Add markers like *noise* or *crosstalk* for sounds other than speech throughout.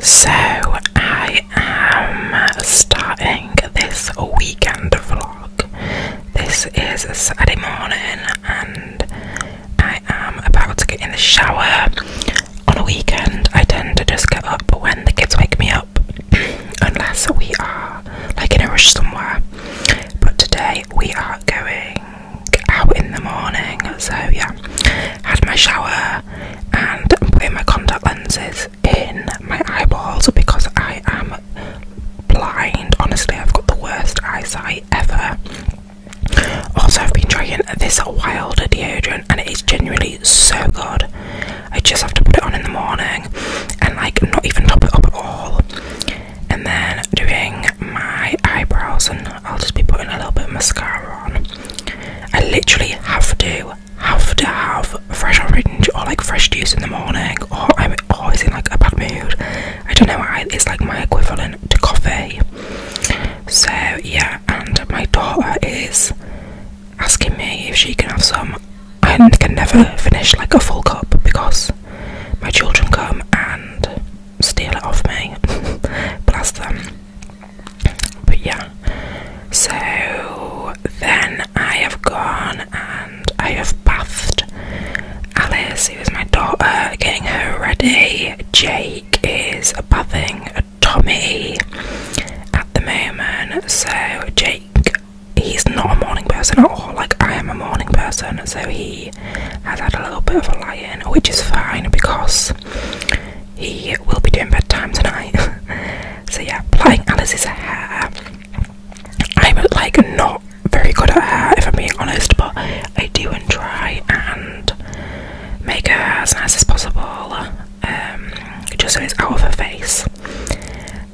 So, I am starting this weekend vlog. This is a Saturday morning, and I am about to get in the shower. On a weekend, I tend to just get up when the kids wake me up, *clears throat* unless we are like in a rush somewhere. But today, we are going out in the morning, so yeah. Had my shower, and putting my contact lenses in my eyeballs because I am blind. Honestly, I've got the worst eyesight ever. Also, I've been trying this wild deodorant and it is genuinely so good. I just have to put it on in the morning and like not even top it up at all. And then doing my eyebrows, and I'll just be putting a little bit of mascara on. I literally have to have to have fresh orange or like fresh juice in the morning, or I'm always in like a bad mood. I don't know it's like my equivalent to coffee. So yeah, and my daughter is asking me if she can have some. I can never finish like a full cup because my children come and steal it off me. *laughs* blast them. But yeah. So then I have gone and I have bathed Alice, who is my daughter, getting her ready. Jake is bathing Tommy at the moment. So Jake, he's not a morning person at all. Like I am a morning person, so he he has had a little bit of a lie in, which is fine because he will be doing bedtime tonight. *laughs* so yeah, applying Alice's hair. I'm like not very good at hair if I'm being honest, but I do try and make her as nice as possible. Um, just so it's out of her face.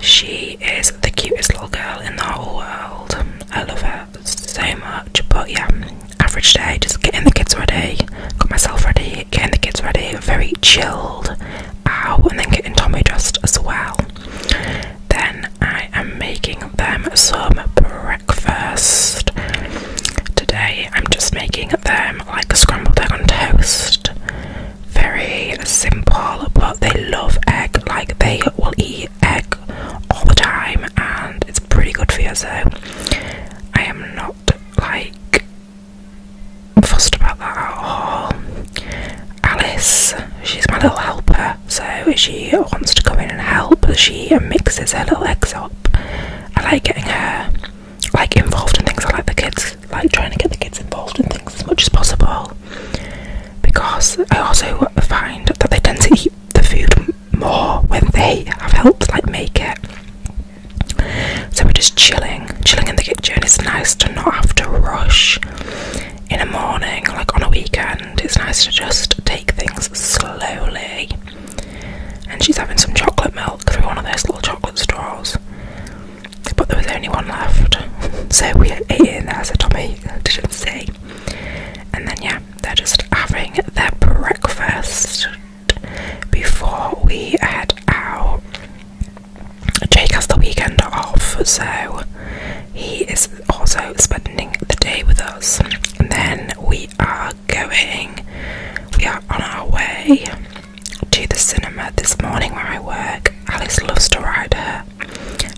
She is the cutest little girl in the whole world. I love her so much, but yeah, average day, just getting the kids ready, got myself ready, getting the kids ready, very chilled out, and then getting Tommy dressed as well. Then I am making them some breakfast. Today I'm just making them like scrambled egg on toast. Very simple, but they love egg, like they will eat egg all the time and it's pretty good for you so I am not like fussed about that at all. Alice, she's my little helper, so if she wants to come in and help, she mixes her little eggs up. I like getting her like involved in things. I like the kids, like trying to get the kids involved in things as much as possible. Because I also find that they tend to eat the food more when they have helped like make it. So we're just chilling, chilling in the kitchen. It's nice to not have to rush in a morning, like on a weekend. It's nice to just take things slowly. And she's having some chocolate milk through one of those little chocolate straws. But there was only one left. *laughs* So we ate in there, so Tommy didn't see. And then yeah, they're just having their breakfast before we head out. Jake has the weekend off, so he is also spending the day with us. then we are going, we are on our way to the cinema this morning where I work. Alice loves to ride her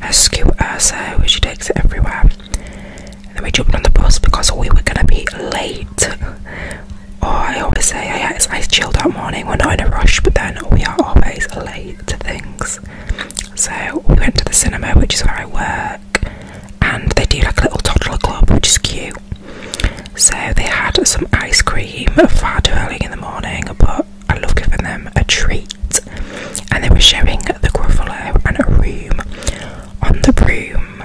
as cute as so she takes it everywhere. And then we jumped on the bus because we were gonna be late. oh, I always say I, I, I chilled out morning. We're not in a rush, but then we are always late to things. So we went to the cinema, which is where I work, and they do like a little toddler club, which is cute. So they had some ice cream far too early in the morning, but I love giving them a treat and they were showing the Gruffalo and a room on the room.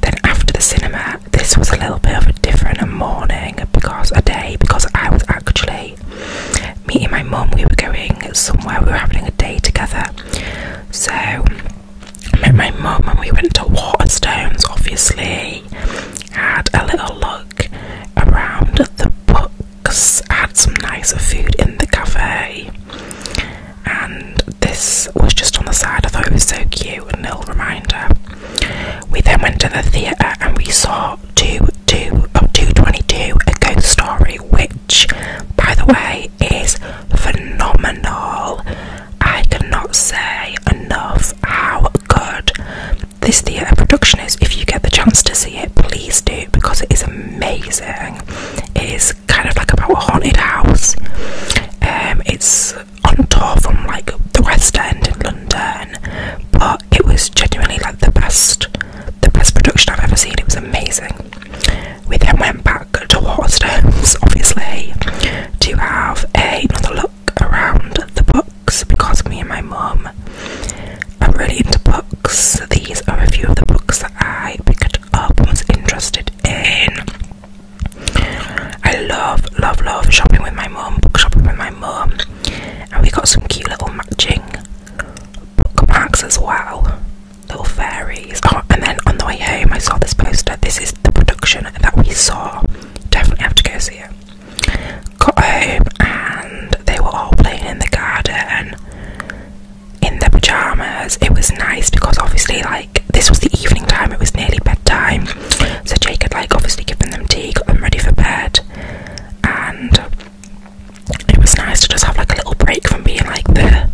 Then after the cinema, this was a little bit of a different morning because a day because I was actually meeting my mum. We were going somewhere. We were having a day together, so I met my mum and we went to Waterstones. Obviously, had a little look around the book Cause I had some nicer food in the cafe, and this was just on the side. I thought it was so cute, a little reminder. We then went to the theatre and we saw Two, two two oh, two twenty two a ghost story, which, by the way, is phenomenal. I cannot say enough how good this theatre production is. If you get the chance to see it, please do because it is amazing. It is kind of like about a haunted house. Um, it's on tour from like the West End in London, but it was genuinely like the best, the best production I've ever seen. It was amazing. We then went back to Waterstones, *laughs* obviously, to have another look around the books because me and my mum are really into books books. These are a few of the books that I picked up was interested in. I love, love, love shopping with my mum, book shopping with my mum. And we got some cute little matching book bookmarks as well. Little fairies. Oh, and then on the way home I saw this poster. This is the production that we saw. Definitely have to go see it. Got home and they were all playing in the garden in their pajamas. It was nice because obviously, like, this was the evening time, it was nearly bedtime. So Jake had, like, obviously given them tea, got them ready for bed, and it was nice to just have, like, a little break from being, like, the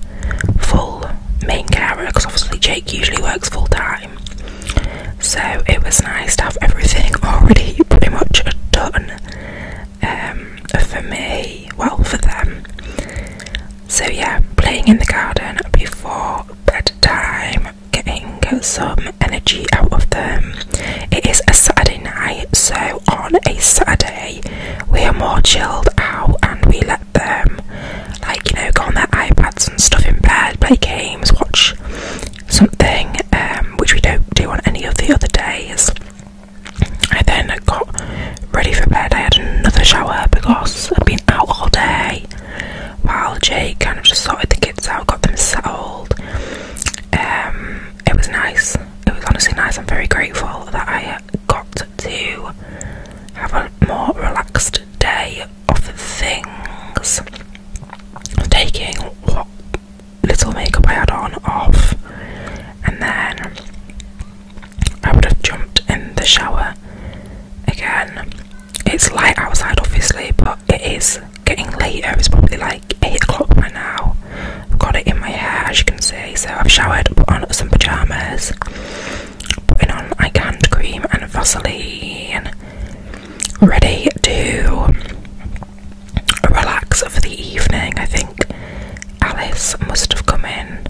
full main carer because obviously Jake usually works full time. So it was nice to have everything *laughs* already pretty much done um, for me, well, for them. So, yeah, playing in the garden before bedtime, getting some energy out of them. It is a Saturday night, so on a Saturday, we are more chilled out and we let them, like, you know, go on their iPads and stuff in bed, play games, watch something um, which we don't do on any of the other days. I then got ready for bed. I had another shower because I'd been out all day while Jake kind of just sorted the kids out, got them settled. Um, it was nice. It was honestly nice. I'm very grateful that I got to have a more relaxed day of things. Taking what little makeup I had on off, and then I would have jumped in the shower again. It's light outside, obviously, but it is getting later. It's probably like 8 o'clock by now. I've got it in my hair, as you can see. So I've showered, put on some pyjamas, putting on my hand cream and Vaseline, ready to relax for the evening. I think Alice must have come in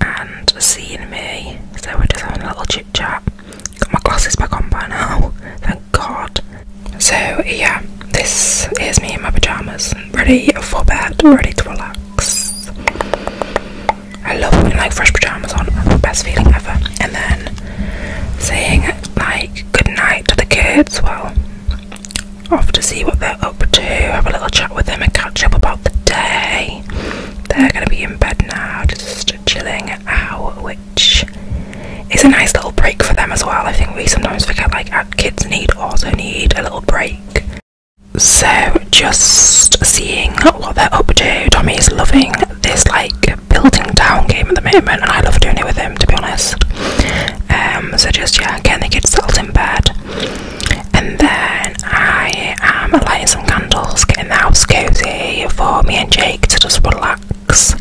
and seen me, so we're just having a little chit chat. Got my glasses back on by now, *laughs* thank God. So, yeah, this is me in my pyjamas, ready for bed, ready to relax. I love putting like fresh pyjamas on, best feeling ever. And then saying like good night to the kids. Well, off to see what they're up to, have a little chat with them and catch up about the day. They're gonna be in bed now, just chilling out, which is a nice little break for them as well. I think we sometimes forget like kids need also need a little break. So just seeing what they're up to. Tommy's loving this like building town game at the moment and I love doing it with him to be honest. Um, so just yeah, getting the kids settled in bed. And then I am lighting some candles, getting the house cozy for me and Jake to just relax.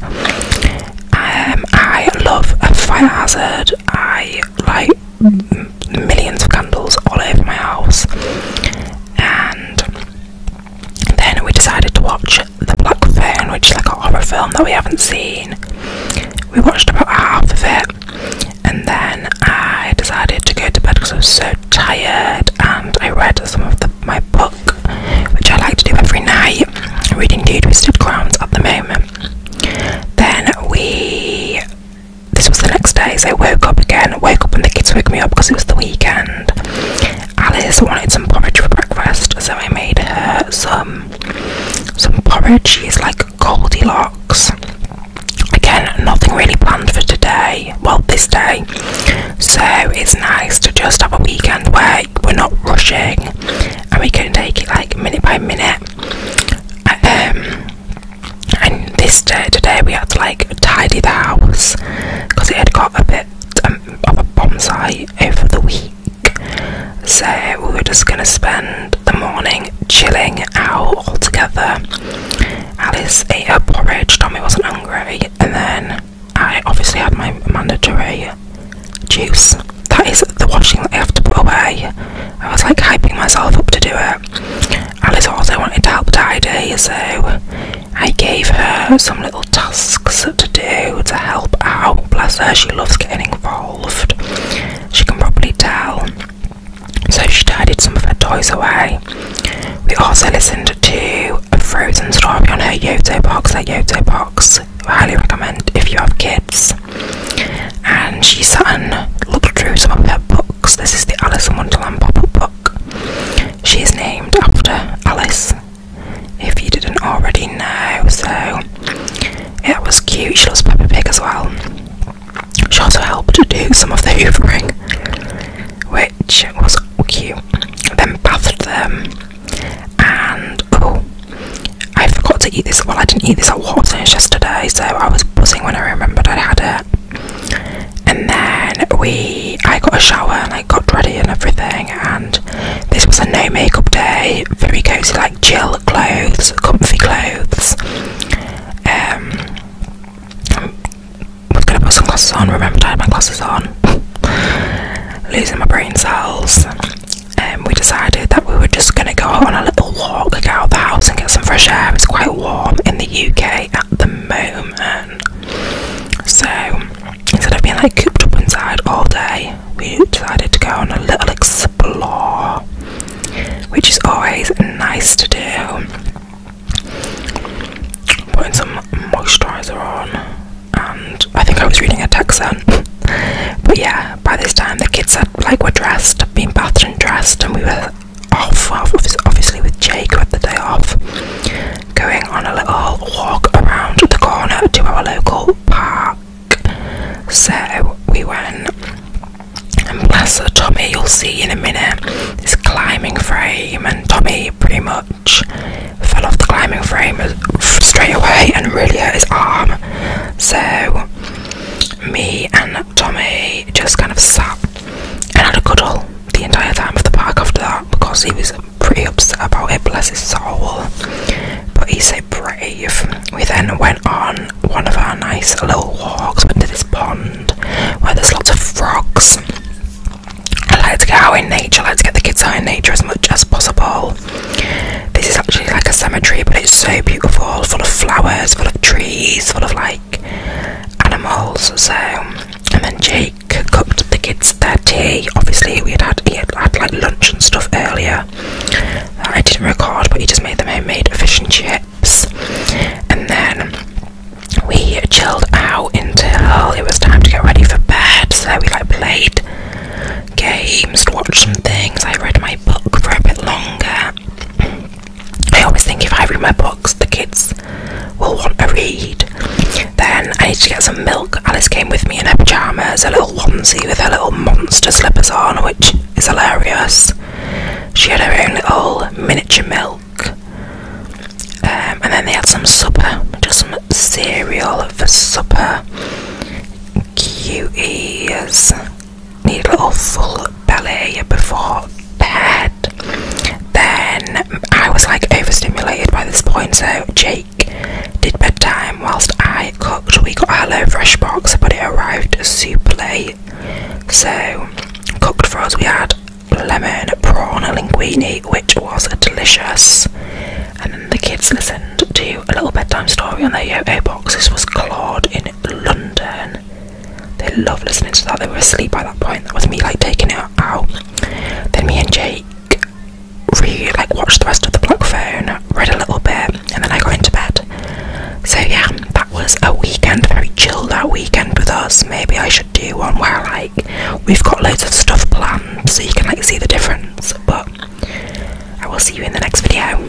Um, I love a fire hazard. I like millions of candles all over my house. And then we decided to watch the Black Fern, which is like a horror film that we haven't seen. We watched about half of it, and then I decided to go to bed because I was so tired, and I read some of my book, which I like to do every night. I'm reading Two Twisted Crowns at the moment. Then we. This was the next day, so I woke up again, woke up and the kids woke me up because it was the weekend. Alice wanted some porridge for breakfast, so I made her some some porridge. She's like Goldilocks. Again, nothing really planned for today. Well, this day. So it's nice to just have a weekend where we're not rushing and we can take it like minute by minute. Um, and this day today we had to like tidy the house because it had got a bit set um, a bonsai over the week. So we were just gonna spend the morning chilling out together. Alice ate her porridge, Tommy wasn't hungry, and then I obviously had my mandatory juice. That is the washing that I have to put away. I was like hyping myself up to do it. Alice also wanted to help tidy, so I gave her some little tasks to do to help out. Bless her, she loves getting involved. She can probably tell. So she tidied some of her toys away. We also listened to a Frozen story on her Yoto box That Yoto box. highly recommend if you have kids. And she sat and looked through some of her books. This is the Alice in Wonderland pop-up book. She is named after Alice, if you didn't already know, so it was cute. She loves Peppa Pig as well. She also helped to do some of the hoovering, which was cute. Then bathed them, and oh, I forgot to eat this. Well, I didn't eat this at Watson's yesterday, so I was buzzing when I remembered I had it and then we I got a shower and I got ready and everything and this was a no makeup day very cozy like chill clothes comfy clothes um I was gonna put some glasses on Remember I had my glasses on *laughs* losing my brain cells and um, we decided that we were just gonna go on a little walk like, out of the house and get some fresh air it's quite warm in the UK the moment. So instead of being like cooped up inside all day, we decided to go on a little explore, which is always nice to do. Putting some moisturiser on, and I think I was reading a text then. *laughs* but yeah, by this time the kids had like were dressed, been bathed and dressed, and we were off, obviously with Jake who had the day off, going on a little walk around the corner to our local park. So we went, and bless her, Tommy, you'll see in a minute, his climbing frame, and Tommy pretty much fell off the climbing frame straight away and really hurt his arm. So me and Tommy just kind of sat and had a cuddle the entire time of the park after that because he was pretty upset about it, bless his soul. But he's so brave. We then went on one of our nice little walks, into this pond where there's lots of frogs. I like to get out in nature, I like to get the kids out in nature as much as possible. This is actually like a cemetery, but it's so beautiful, full of flowers, full of trees, full of like animals. So, and then Jake cooked the kids their tea. Obviously, we had had, like lunch and stuff earlier. I didn't record, but he just made them homemade fish and chips. And then we chilled out until it was time to get ready for bed. So we like played games, watched some things. I read my book for a bit longer. I always think if I read my books, the kids will want a read. Then I need to get some milk. Alice came with me in her pyjamas, a little onesie with her little monster slippers on, which is hilarious. She had her own little miniature milk. Um, and then they had some supper, just some cereal for supper. Cuties, need a little full belly before bed. Then I was like overstimulated by this point, so Jake did bedtime whilst I cooked. We got our fresh box, but it arrived super late, so cooked for us. We had lemon prawn linguine, which was delicious. And then the kids listened to a little bedtime story on their yo-yo box. This was Claude in London. They love listening to that. They were asleep by that point. That was me like taking it out. Then me and Jake really like watched the rest of the block phone, read a little bit, and then I got into bed. So yeah, that was a weekend, very chilled out weekend with us. Maybe I should do one where like we've got loads of stuff planned so you can like see the difference. But I will see you in the next video.